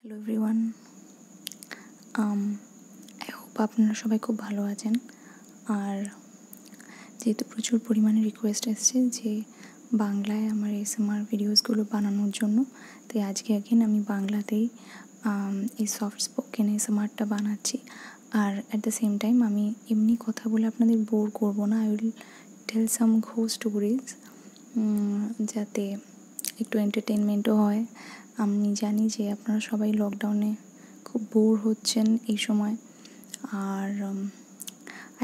hello everyone I hope আপনারা সবাই খুব ভালো আছেন আর যেহেতু প্রচুর পরিমাণে রিকোয়েস্ট এসছে যে বাংলায় আমার এসএমআর ভিডিওসগুলো বানানোর জন্য তাই আজকে একদিন আমি বাংলাতেই um, এই সফট স্পোকেন এসএমআরটা বানাচ্ছি আর অ্যাট দ্য সেম টাইম আমি এমনি কথা বলে আপনাদের বোর করবো না I will tell some ghost stories যাতে একটু এন্টারটেনমেন্টও হয় আমি জানি যে আপনারা সবাই লকডাউনে খুব বোর হচ্ছেন এই সময় আর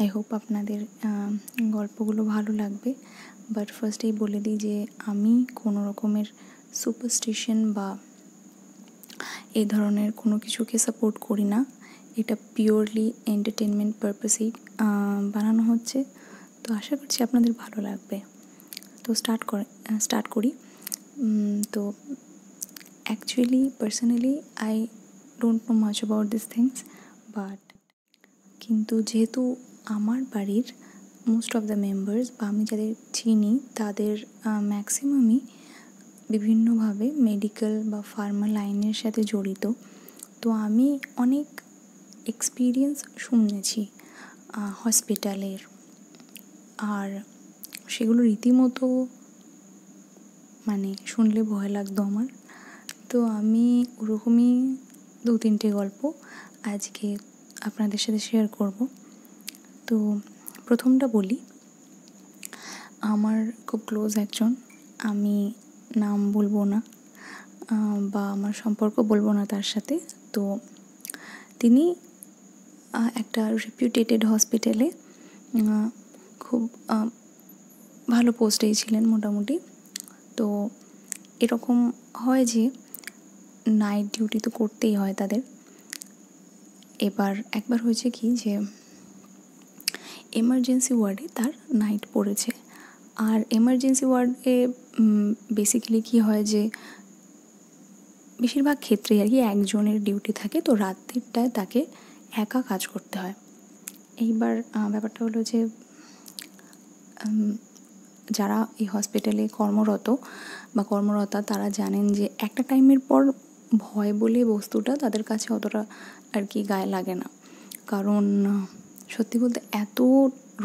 আই হোপ আপনাদের গল্পগুলো ভালো লাগবে বাট ফার্স্টেই বলে দিই যে আমি কোনো রকমের সুপারস্টিশন বা এই ধরনের কোনো কিছুকে সাপোর্ট করি না এটা পিওরলি এন্টারটেনমেন্ট পারপাসেই বানানো হচ্ছে তো আশা করছি আপনাদের ভালো লাগবে তো স্টার্ট করে স্টার্ট করি তো actually personally I don't know much about this things but কিন্তু যেহেতু আমার বাড়ির মোস্ট অফ দ্য মেম্বার্স বা আমি যাদের চিনি তাদের ম্যাক্সিমামই বিভিন্নভাবে মেডিকেল বা ফার্মা লাইনের সাথে জড়িত তো আমি অনেক এক্সপিরিয়েন্স শুনেছি হসপিটালের আর সেগুলো রীতিমতো মানে শুনলে ভয় লাগতো আমার তো আমি ওরকমই দু তিনটে গল্প আজকে আপনাদের সাথে শেয়ার করব তো প্রথমটা বলি আমার খুব ক্লোজ একজন আমি নাম বলবো না বা আমার সম্পর্ক বলবো না তার সাথে তো তিনি একটা রেপিউটেটেড হসপিটালে খুব ভালো পোস্টে ছিলেন মোটামুটি তো এরকম হয় যে নাইট ডিউটি তো করতেই হয় তাদের এবার একবার হয়েছে কি যে এমার্জেন্সি ওয়ার্ডে তার নাইট পড়েছে আর এমার্জেন্সি ওয়ার্ডে বেসিক্যালি কী হয় যে বেশিরভাগ ক্ষেত্রেই আর কি একজনের ডিউটি থাকে তো রাত্রিটায় তাকে একা কাজ করতে হয় এইবার ব্যাপারটা হলো যে যারা এই হসপিটালে কর্মরত বা কর্মরতা তারা জানেন যে একটা টাইমের পর ভয় বলে বস্তুটা তাদের কাছে অতটা আর কি গায়ে লাগে না না কারণ সত্যি বলতে এত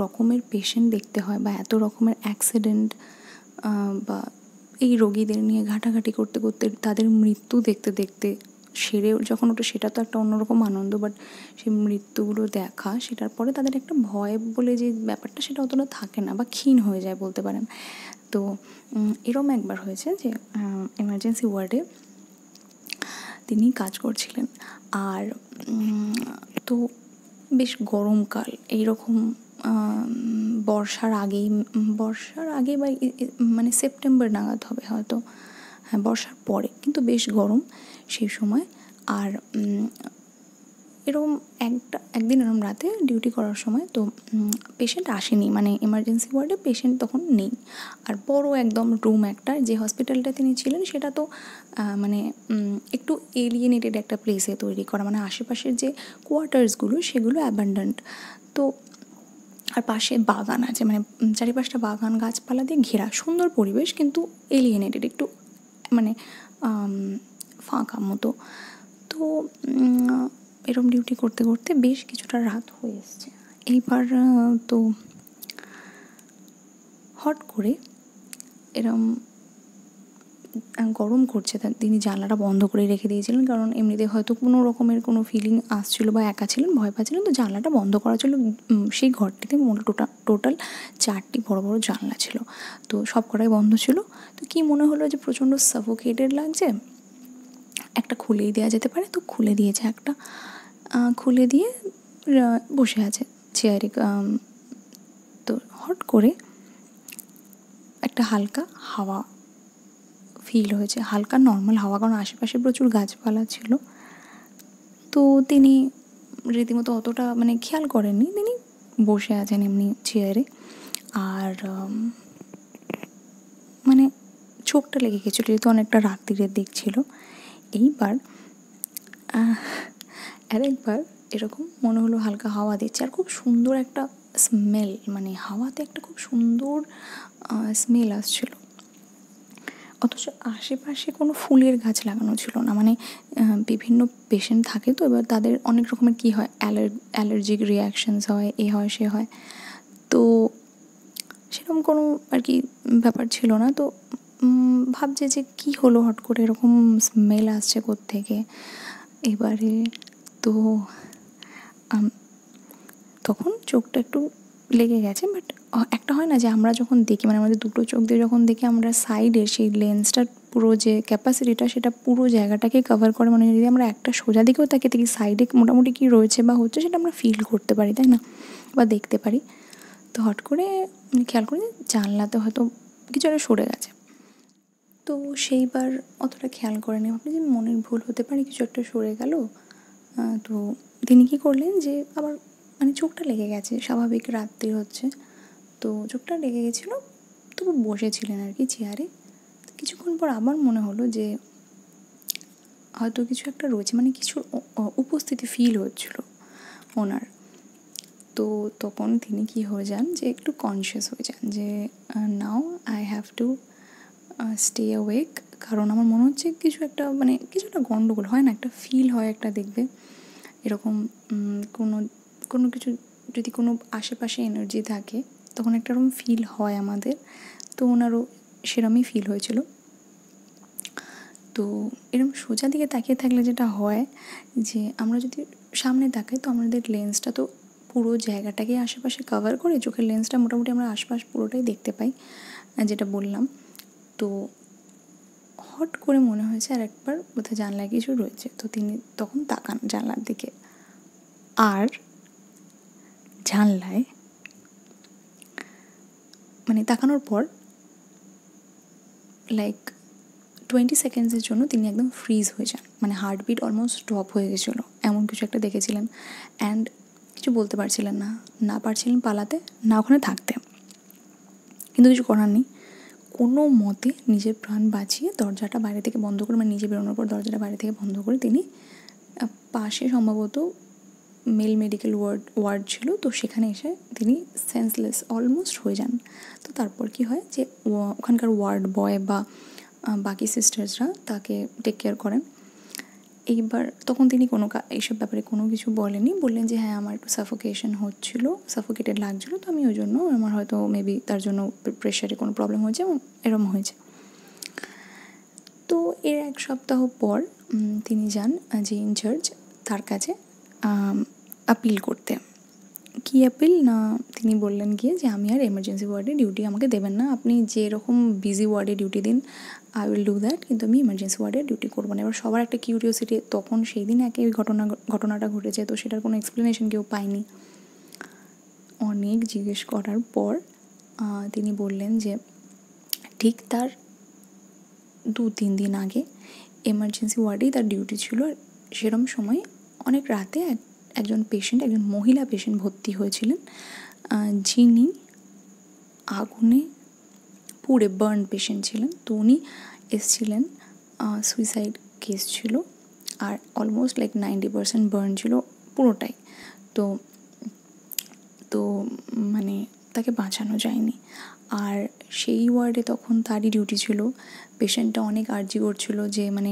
রকমের পেশেন্ট দেখতে হয় বা এত রকমের অ্যাক্সিডেন্ট বা এই রোগীদের নিয়ে ঘাটাঘাটি করতে করতে তাদের মৃত্যু দেখতে দেখতে সেরে যখন ওটা সেটা তো একটা অন্যরকম আনন্দ বাট সেই মৃত্যুগুলো দেখা সেটার পরে তাদের একটা ভয় বলে যে ব্যাপারটা সেটা অতটা থাকে না বা ক্ষীণ হয়ে যায় বলতে পারেন তো এরকম একবার হয়েছে যে এমার্জেন্সি ওয়ার্ডে তিনি কাজ করছিলেন আর তো বেশ গরমকাল এইরকম বর্ষার আগেই বর্ষার আগে বা মানে সেপ্টেম্বর নাগাদ হবে হয়তো হ্যাঁ বর্ষার পরে কিন্তু বেশ গরম সেই সময় আর এরকম একটা একদিন এরকম রাতে ডিউটি করার সময় তো পেশেন্ট আসেনি মানে এমার্জেন্সি ওয়ার্ডে পেশেন্ট তখন নেই আর বড় একদম রুম একটা যে হসপিটালটা তিনি ছিলেন সেটা তো মানে একটু এলিয়েনেটেড একটা প্লেসে তৈরি করা মানে আশেপাশের যে কোয়ার্টার্সগুলো সেগুলো অ্যাবান্ডেন্ট তো আর পাশে বাগান আছে মানে চারিপাশটা বাগান গাছপালা দিয়ে ঘেরা সুন্দর পরিবেশ কিন্তু এলিয়েনেটেড একটু মানে ফাঁকা মতো তো এরম ডিউটি করতে করতে বেশ কিছুটা রাত হয়ে এসছে এইবার তো হট করে এরম গরম করছে তার তিনি জানলাটা বন্ধ করে রেখে দিয়েছিলেন কারণ এমনিতে হয়তো কোনো রকমের কোনো ফিলিং আসছিলো বা একা ছিলেন ভয় পাচ্ছিলেন তো জানলাটা বন্ধ করা ছিল সেই ঘরটিতে টোটা টোটাল চারটি বড় বড় জানলা ছিল তো সব কটাই বন্ধ ছিল তো কি মনে হলো যে প্রচণ্ড সাফোকেটেড লাগছে একটা খুলেই দেওয়া যেতে পারে তো খুলে দিয়েছে একটা খুলে দিয়ে বসে আছে চেয়ারে তো হট করে একটা হালকা হাওয়া ফিল হয়েছে হালকা নর্মাল হাওয়া কারণ আশেপাশে প্রচুর গাছপালা ছিল তো তিনি রীতিমতো অতটা মানে খেয়াল করেননি তিনি বসে আছেন এমনি চেয়ারে আর মানে চোখটা লেগে গেছিলো যেহেতু অনেকটা রাত্রিরের দিক ছিল এইবার আর একবার এরকম মনে হলো হালকা হাওয়া দিচ্ছে আর খুব সুন্দর একটা স্মেল মানে হাওয়াতে একটা খুব সুন্দর স্মেল আসছিল অথচ আশেপাশে কোনো ফুলের গাছ লাগানো ছিল না মানে বিভিন্ন পেশেন্ট থাকে তো এবার তাদের অনেক রকমের কী হয় অ্যালার্জিক রিয়াকশানস হয় এ হয় সে হয় তো সেরকম কোনো আর কি ব্যাপার ছিল না তো ভাবছে যে কি হলো হট করে এরকম স্মেল আসছে থেকে এবারে তো তখন চোখটা একটু লেগে গেছে বাট একটা হয় না যে আমরা যখন দেখি মানে আমাদের দুটো চোখ দিয়ে যখন দেখি আমরা সাইডে সেই লেন্সটার পুরো যে ক্যাপাসিটিটা সেটা পুরো জায়গাটাকে কভার করে মানে যদি আমরা একটা সোজা দিকেও তাকিয়ে থাকি সাইডে মোটামুটি কী রয়েছে বা হচ্ছে সেটা আমরা ফিল করতে পারি তাই না বা দেখতে পারি তো হট করে খেয়াল করে জানলাতে হয়তো কিছু একটা সরে গেছে তো সেইবার অতটা খেয়াল করেনি আপনি যে মনের ভুল হতে পারে কিছু একটা সরে গেল তো তিনি কি করলেন যে আবার মানে চোখটা লেগে গেছে স্বাভাবিক রাত্রি হচ্ছে তো চোখটা লেগে গেছিলো তবু বসেছিলেন আর কি চেয়ারে কিছুক্ষণ পর আবার মনে হলো যে হয়তো কিছু একটা রয়েছে মানে কিছু উপস্থিতি ফিল হচ্ছিলো ওনার তো তখন তিনি কি হয়ে যান যে একটু কনসিয়াস হয়ে যান যে now I have to stay awake কারণ আমার মনে হচ্ছে কিছু একটা মানে কিছু একটা গণ্ডগোল হয় না একটা ফিল হয় একটা দেখবে এরকম কোনো কোনো কিছু যদি কোনো আশেপাশে এনার্জি থাকে তখন একটা এরকম ফিল হয় আমাদের তো ওনারও সেরমই ফিল হয়েছিল তো এরম সোজা দিকে তাকিয়ে থাকলে যেটা হয় যে আমরা যদি সামনে তাকাই তো আমাদের লেন্সটা তো পুরো জায়গাটাকে আশেপাশে কভার করে চোখের লেন্সটা মোটামুটি আমরা আশপাশ পুরোটাই দেখতে পাই যেটা বললাম তো হট করে মনে হয়েছে আর একবার বোধহয় জানলায় কিছু রয়েছে তো তিনি তখন তাকান জানলার দিকে আর জানলায় মানে তাকানোর পর লাইক টোয়েন্টি সেকেন্ডসের জন্য তিনি একদম ফ্রিজ হয়ে যান মানে হার্টবিট অলমোস্ট স্টপ হয়ে গেছিলো এমন কিছু একটা দেখেছিলেন অ্যান্ড কিছু বলতে পারছিলেন না না পারছিলেন পালাতে না ওখানে থাকতে কিন্তু কিছু করার নেই কোনো মতে নিজের প্রাণ বাঁচিয়ে দরজাটা বাইরে থেকে বন্ধ করে মানে নিজে বেরোনোর পর দরজাটা বাইরে থেকে বন্ধ করে তিনি পাশে সম্ভবত মেল মেডিকেল ওয়ার্ড ওয়ার্ড ছিল তো সেখানে এসে তিনি সেন্সলেস অলমোস্ট হয়ে যান তো তারপর কি হয় যে ওখানকার ওয়ার্ড বয় বা বাকি সিস্টার্সরা তাকে টেক কেয়ার করেন এইবার তখন তিনি কোনো এইসব ব্যাপারে কোনো কিছু বলেনি বললেন যে হ্যাঁ আমার একটু সাফোকেশন হচ্ছিল সাফোকেটেড লাগছিল তো আমি ওই জন্য আমার হয়তো মেবি তার জন্য প্রেশারে কোনো প্রবলেম হয়েছে এবং এরম হয়েছে তো এর এক সপ্তাহ পর তিনি যান যে ইনচার্জ তার কাছে আপিল করতে কী অ্যাপিল না তিনি বললেন গিয়ে যে আমি আর এমার্জেন্সি ওয়ার্ডে ডিউটি আমাকে দেবেন না আপনি যেরকম বিজি ওয়ার্ডে ডিউটি দিন আই উইল ডু দ্যাট কিন্তু আমি এমার্জেন্সি ওয়ার্ডে ডিউটি করবো না এবার সবার একটা কিউরিওসিটি তখন সেই দিন একই ঘটনা ঘটনাটা ঘটেছে তো সেটার কোনো এক্সপ্লেনেশন কেউ পায়নি অনেক জিজ্ঞেস করার পর তিনি বললেন যে ঠিক তার দু তিন দিন আগে এমার্জেন্সি ওয়ার্ডেই তার ডিউটি ছিল আর সেরম সময় অনেক রাতে একজন পেশেন্ট একজন মহিলা পেশেন্ট ভর্তি হয়েছিলেন যিনি আগুনে পুড়ে বার্ন পেশেন্ট ছিলেন তো উনি এসেছিলেন সুইসাইড কেস ছিল আর almost like ninety percent burn ছিল পুরোটাই তো তো মানে তাকে বাঁচানো যায়নি আর সেই ওয়ার্ডে তখন তারই ডিউটি ছিল পেশেন্টটা অনেক আর্জি করছিলো যে মানে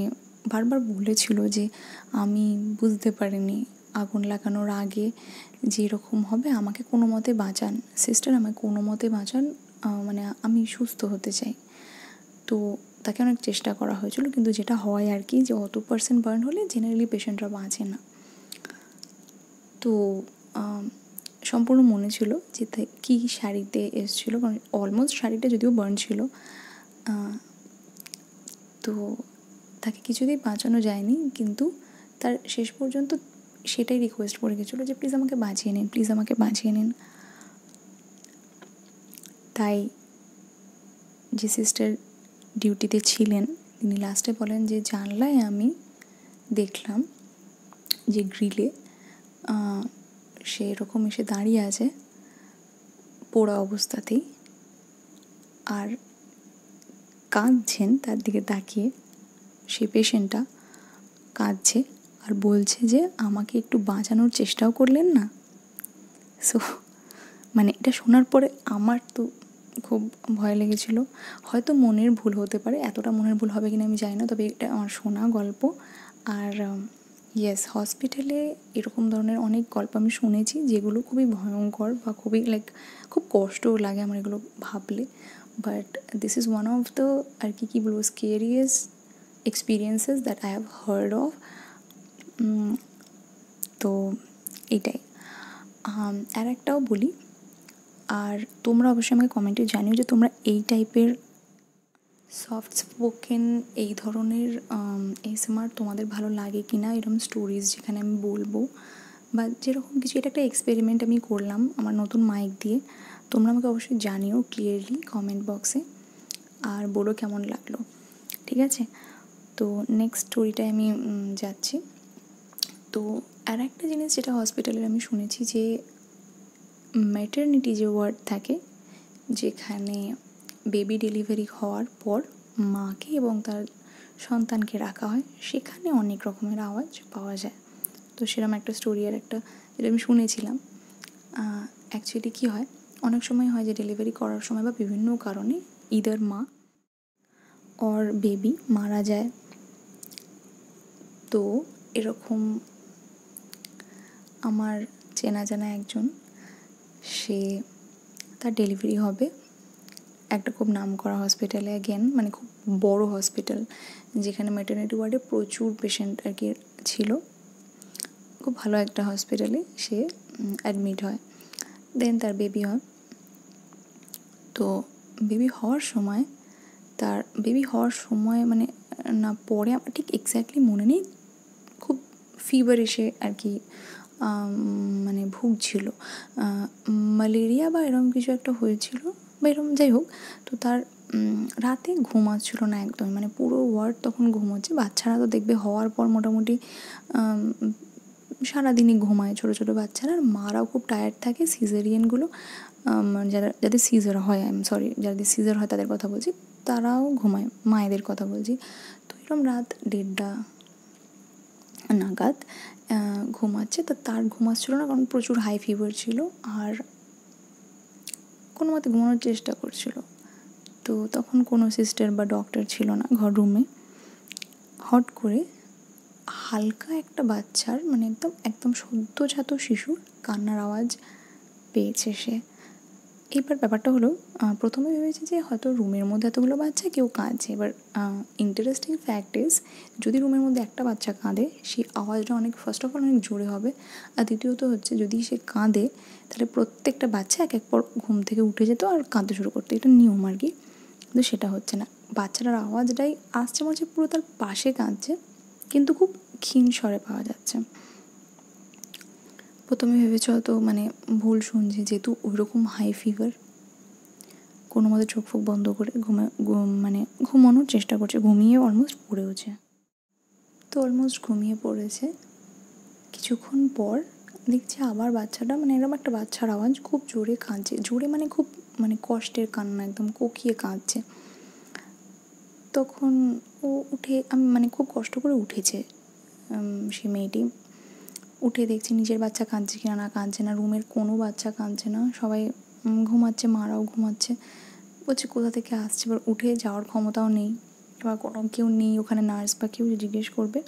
বারবার বলেছিল যে আমি বুঝতে পারিনি আগুন লাগানোর আগে যে এরকম হবে আমাকে কোনো মতে বাঁচান সিস্টার আমাকে কোনো মতে বাঁচান মানে আমি সুস্থ হতে চাই তো তাকে অনেক চেষ্টা করা হয়েছিল কিন্তু যেটা হয় আর কি যে অত পার্সেন্ট বার্ন হলে জেনারেলি পেশেন্টরা বাঁচে না তো সম্পূর্ণ মনে ছিল যে কী শাড়িতে এসেছিলো কারণ অলমোস্ট শাড়িটা যদিও বার্ন ছিল তো তাকে কিছুতেই বাঁচানো যায়নি কিন্তু তার শেষ পর্যন্ত সেটাই রিকোয়েস্ট করে গেছিলো যে প্লিজ আমাকে বাঁচিয়ে নিন প্লিজ আমাকে বাঁচিয়ে নিন তাই যে সিস্টার ডিউটিতে ছিলেন তিনি লাস্টে বলেন যে জানলায় আমি দেখলাম যে গ্রিলে সে এরকম এসে দাঁড়িয়ে আছে পোড়া অবস্থাতেই আর কাঁদছেন তার দিকে তাকিয়ে সে পেশেন্টটা কাঁদছে আর বলছে যে আমাকে একটু বাঁচানোর চেষ্টাও করলেন না সো মানে এটা শোনার পরে আমার তো খুব ভয় লেগেছিলো হয়তো মনের ভুল হতে পারে এতটা মনের ভুল হবে কিনা আমি জানি না তবে এটা আমার শোনা গল্প আর ইয়েস হসপিটালে এরকম ধরনের অনেক গল্প আমি শুনেছি যেগুলো খুবই ভয়ঙ্কর বা খুবই লাইক খুব কষ্টও লাগে আমার এগুলো ভাবলে but this is one of the আর কি কী বলবো scariest experiences that I have heard of তো এটাই আর একটাও বলি আর তোমরা অবশ্যই আমাকে কমেন্টে জানিও যে তোমরা এই টাইপের সফট স্পোকেন এই ধরনের এসএমআর তোমাদের ভালো লাগে কি না এরকম স্টোরিজ যেখানে আমি বলবো বা যেরকম কিছু এটা একটা এক্সপেরিমেন্ট আমি করলাম আমার নতুন মাইক দিয়ে তোমরা আমাকে অবশ্যই জানিও ক্লিয়ারলি কমেন্ট বক্সে আর বলো কেমন লাগলো ঠিক আছে তো নেক্সট স্টোরিটায় আমি যাচ্ছি তো আর একটা জিনিস যেটা হসপিটালের আমি শুনেছি যে ম্যাটার্নিটি যে ওয়ার্ড থাকে যেখানে বেবি ডেলিভারি হওয়ার পর মাকে এবং তার সন্তানকে রাখা হয় সেখানে অনেক রকমের আওয়াজ পাওয়া যায় তো সেরকম একটা স্টোরি আর একটা যেটা আমি শুনেছিলাম অ্যাকচুয়ালি কী হয় অনেক সময় হয় যে ডেলিভারি করার সময় বা বিভিন্ন কারণে ইদার মা অর বেবি মারা যায় তো এরকম আমার চেনা জানা একজন সে তার ডেলিভারি হবে একটা খুব নাম করা হসপিটালে অ্যাগেন মানে খুব বড় হসপিটাল যেখানে ম্যাটার্নিটি ওয়ার্ডে প্রচুর পেশেন্ট আর কি ছিল খুব ভালো একটা হসপিটালে সে অ্যাডমিট হয় দেন তার বেবি হয় তো বেবি হওয়ার সময় তার বেবি হওয়ার সময় মানে না পরে আমার ঠিক এক্স্যাক্টলি মনে নেই খুব ফিভার এসে আর কি মানে ভুগছিল ম্যালেরিয়া বা এরম কিছু একটা হয়েছিল বা এরকম যাই হোক তো তার রাতে ঘুমাচ্ছিল না একদমই মানে পুরো ওয়ার্ড তখন ঘুমাচ্ছে বাচ্চারা তো দেখবে হওয়ার পর মোটামুটি সারাদিনই ঘুমায় ছোট ছোট বাচ্চারা আর মারাও খুব টায়ার্ড থাকে সিজারিয়ানগুলো যারা যাদের সিজার হয় আই এম সরি যাদের সিজার হয় তাদের কথা বলছি তারাও ঘুমায় মায়েদের কথা বলছি তো এরকম রাত দেড়টা নাগাদ ঘুমাচ্ছে তো তার ঘুমাচ্ছিল না কারণ প্রচুর হাই ফিভার ছিল আর কোনো মতে ঘুমানোর চেষ্টা করছিল তো তখন কোনো সিস্টার বা ডক্টর ছিল না ঘর রুমে হট করে হালকা একটা বাচ্চার মানে একদম একদম সদ্যজাত শিশুর কান্নার আওয়াজ পেয়েছে সে এবার ব্যাপারটা হলো প্রথমে ভেবেছি যে হয়তো রুমের মধ্যে এতগুলো বাচ্চা কেউ কাঁদছে এবার ইন্টারেস্টিং ফ্যাক্ট ইজ যদি রুমের মধ্যে একটা বাচ্চা কাঁদে সেই আওয়াজটা অনেক ফার্স্ট অফ অল অনেক জোরে হবে আর দ্বিতীয়ত হচ্ছে যদি সে কাঁদে তাহলে প্রত্যেকটা বাচ্চা এক এক পর ঘুম থেকে উঠে যেত আর কাঁদতে শুরু করতো এটা নিয়ম আর কি কিন্তু সেটা হচ্ছে না বাচ্চাটার আওয়াজটাই আসছে মাঝে পুরো তার পাশে কাঁদছে কিন্তু খুব ক্ষীণ স্বরে পাওয়া যাচ্ছে প্রথমে ভেবেছ তো মানে ভুল শুনছি যেহেতু ওইরকম হাই ফিভার কোনো মতে চোখ ফোক বন্ধ করে ঘুমা মানে ঘুমানোর চেষ্টা করছে ঘুমিয়ে অলমোস্ট পড়েওছে তো অলমোস্ট ঘুমিয়ে পড়েছে কিছুক্ষণ পর দেখছি আবার বাচ্চাটা মানে এরকম একটা বাচ্চার আওয়াজ খুব জোরে কাঁদছে জোরে মানে খুব মানে কষ্টের কান্না একদম কোকিয়ে কাঁদছে তখন ও উঠে আমি মানে খুব কষ্ট করে উঠেছে সে মেয়েটি উঠে দেখছি নিজের বাচ্চা কাঁদছে কিনা না কাঁদছে না রুমের কোনো বাচ্চা কাঁদছে না সবাই ঘুমাচ্ছে মারাও ঘুমাচ্ছে বলছে কোথা থেকে আসছে এবার উঠে যাওয়ার ক্ষমতাও নেই এবার কোনো কেউ নেই ওখানে নার্স বা কেউ জিজ্ঞেস করবে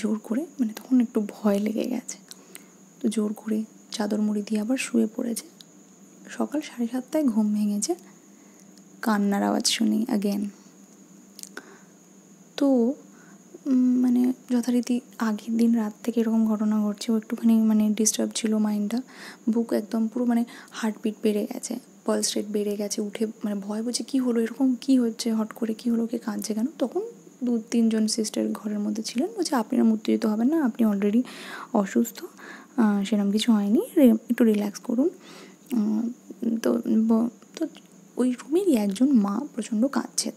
জোর করে মানে তখন একটু ভয় লেগে গেছে তো জোর করে চাদর মুড়ি দিয়ে আবার শুয়ে পড়েছে সকাল সাড়ে সাতটায় ঘুম ভেঙেছে কান্নার আওয়াজ শুনি আগেন তো মানে যথারীতি আগের দিন রাত থেকে এরকম ঘটনা ঘটছে ও একটুখানি মানে ডিস্টার্ব ছিল মাইন্ডটা বুক একদম পুরো মানে হার্টবিট বেড়ে গেছে পালস রেট বেড়ে গেছে উঠে মানে ভয় বুঝে কী হলো এরকম কী হচ্ছে হট করে কী হলো কে কাঁদছে কেন তখন দু তিনজন সিস্টার ঘরের মধ্যে ছিলেন বলছে আপনারা উত্তেজিত হবেন না আপনি অলরেডি অসুস্থ সেরকম কিছু হয়নি একটু রিল্যাক্স করুন তো তো ওই রুমেরই একজন মা প্রচণ্ড কাঁদছে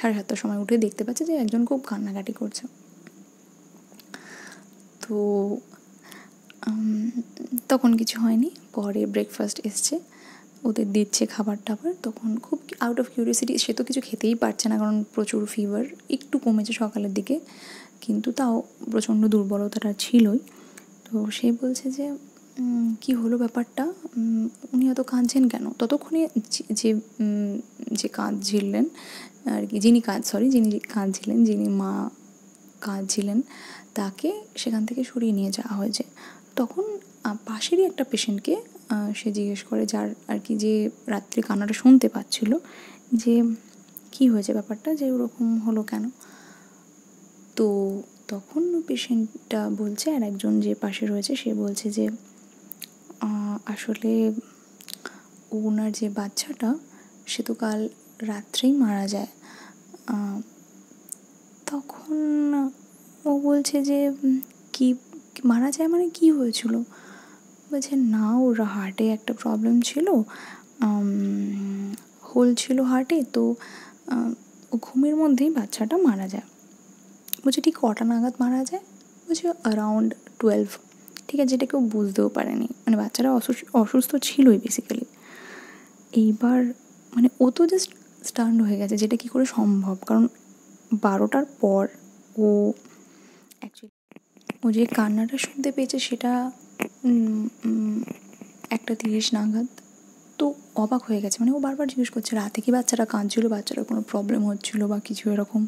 সাড়ে সাতটার সময় উঠে দেখতে পাচ্ছে যে একজন খুব কান্নাকাটি করছে তো তখন কিছু হয়নি পরে ব্রেকফাস্ট এসছে ওদের দিচ্ছে খাবার টাবার তখন খুব আউট অফ কিউরিয়াসিটি সে তো কিছু খেতেই পারছে না কারণ প্রচুর ফিভার একটু কমেছে সকালের দিকে কিন্তু তাও প্রচণ্ড দুর্বলতাটা ছিলই তো সে বলছে যে কি হলো ব্যাপারটা উনি এত কাঁদছেন কেন ততক্ষণে যে যে কাঁদ ঝিললেন আর কি যিনি কাঁদ সরি যিনি কাঁদ কাঁদছিলেন যিনি মা কাঁদছিলেন তাকে সেখান থেকে সরিয়ে নিয়ে যাওয়া হয়েছে তখন পাশেরই একটা পেশেন্টকে সে জিজ্ঞেস করে যার আর কি যে রাত্রে কান্নাটা শুনতে পাচ্ছিল যে কি হয়েছে ব্যাপারটা যে ওরকম হলো কেন তো তখন পেশেন্টটা বলছে আর একজন যে পাশে রয়েছে সে বলছে যে আসলে ওনার যে বাচ্চাটা সে তো কাল রাত্রেই মারা যায় তখন ও বলছে যে কি মারা যায় মানে কি হয়েছিল বলছে না ওর হার্টে একটা প্রবলেম ছিল হোল ছিল হার্টে তো ও ঘুমের মধ্যেই বাচ্চাটা মারা যায় বলছে ঠিক কটা নাগাদ মারা যায় বলছে অ্যারাউন্ড টুয়েলভ ঠিক আছে যেটা কেউ বুঝতেও পারেনি মানে বাচ্চারা অসুস্থ অসুস্থ ছিলই বেসিক্যালি এইবার মানে ও তো জাস্ট স্টান্ড হয়ে গেছে যেটা কী করে সম্ভব কারণ বারোটার পর ও অ্যাকচুয়ালি ও যে কান্নাটা শুনতে পেয়েছে সেটা একটা তিরিশ নাগাদ তো অবাক হয়ে গেছে মানে ও বারবার জিজ্ঞেস করছে রাতে কি বাচ্চারা কাঁদছিল বাচ্চারা কোনো প্রবলেম হচ্ছিলো বা কিছু এরকম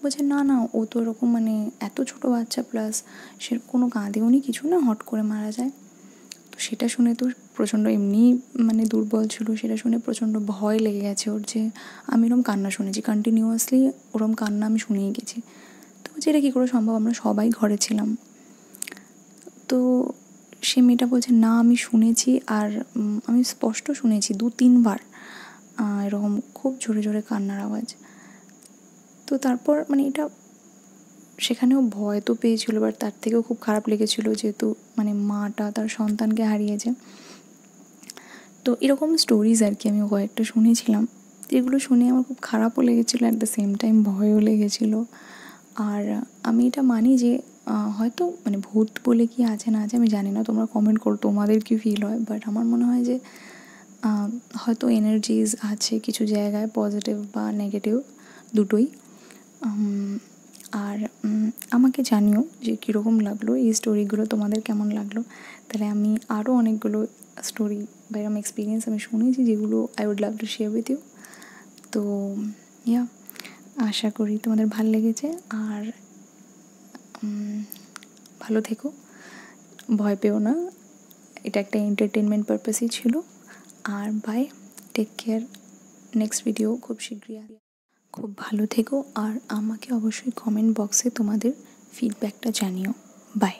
বলছে না না ও তো এরকম মানে এত ছোট বাচ্চা প্লাস সে কোনো উনি কিছু না হট করে মারা যায় তো সেটা শুনে তো প্রচণ্ড এমনি মানে দুর্বল ছিল সেটা শুনে প্রচণ্ড ভয় লেগে গেছে ওর যে আমি ওরম কান্না শুনেছি কন্টিনিউয়াসলি ওরম কান্না আমি শুনেই গেছি তো যেটা কী করে সম্ভব আমরা সবাই ঘরে ছিলাম তো সে মেয়েটা বলছে না আমি শুনেছি আর আমি স্পষ্ট শুনেছি দু তিনবার এরকম খুব জোরে জোরে কান্নার আওয়াজ তো তারপর মানে এটা সেখানেও ভয় তো পেয়েছিলো বাট তার থেকেও খুব খারাপ লেগেছিলো যেহেতু মানে মাটা তার সন্তানকে হারিয়েছে তো এরকম স্টোরিজ আর কি আমি কয়েকটা শুনেছিলাম যেগুলো শুনে আমার খুব খারাপও লেগেছিলো অ্যাট দ্য সেম টাইম ভয়ও লেগেছিলো আর আমি এটা মানি যে হয়তো মানে ভূত বলে কি আছে না আছে আমি জানি না তোমরা কমেন্ট করো তোমাদের কি ফিল হয় বাট আমার মনে হয় যে হয়তো এনার্জিজ আছে কিছু জায়গায় পজিটিভ বা নেগেটিভ দুটোই আর আমাকে জানিও যে কীরকম লাগলো এই স্টোরিগুলো তোমাদের কেমন লাগলো তাহলে আমি আরও অনেকগুলো স্টোরি বা এরকম এক্সপিরিয়েন্স আমি শুনেছি যেগুলো I would love to share with you তো ইয়া আশা করি তোমাদের ভাল লেগেছে আর ভালো থেকো ভয় পেও না এটা একটা এন্টারটেনমেন্ট পারপাসই ছিল আর bye take care next video খুব শীঘ্রই খুব ভালো থেকো আর আমাকে অবশ্যই কমেন্ট বক্সে তোমাদের ফিডব্যাকটা জানিও বাই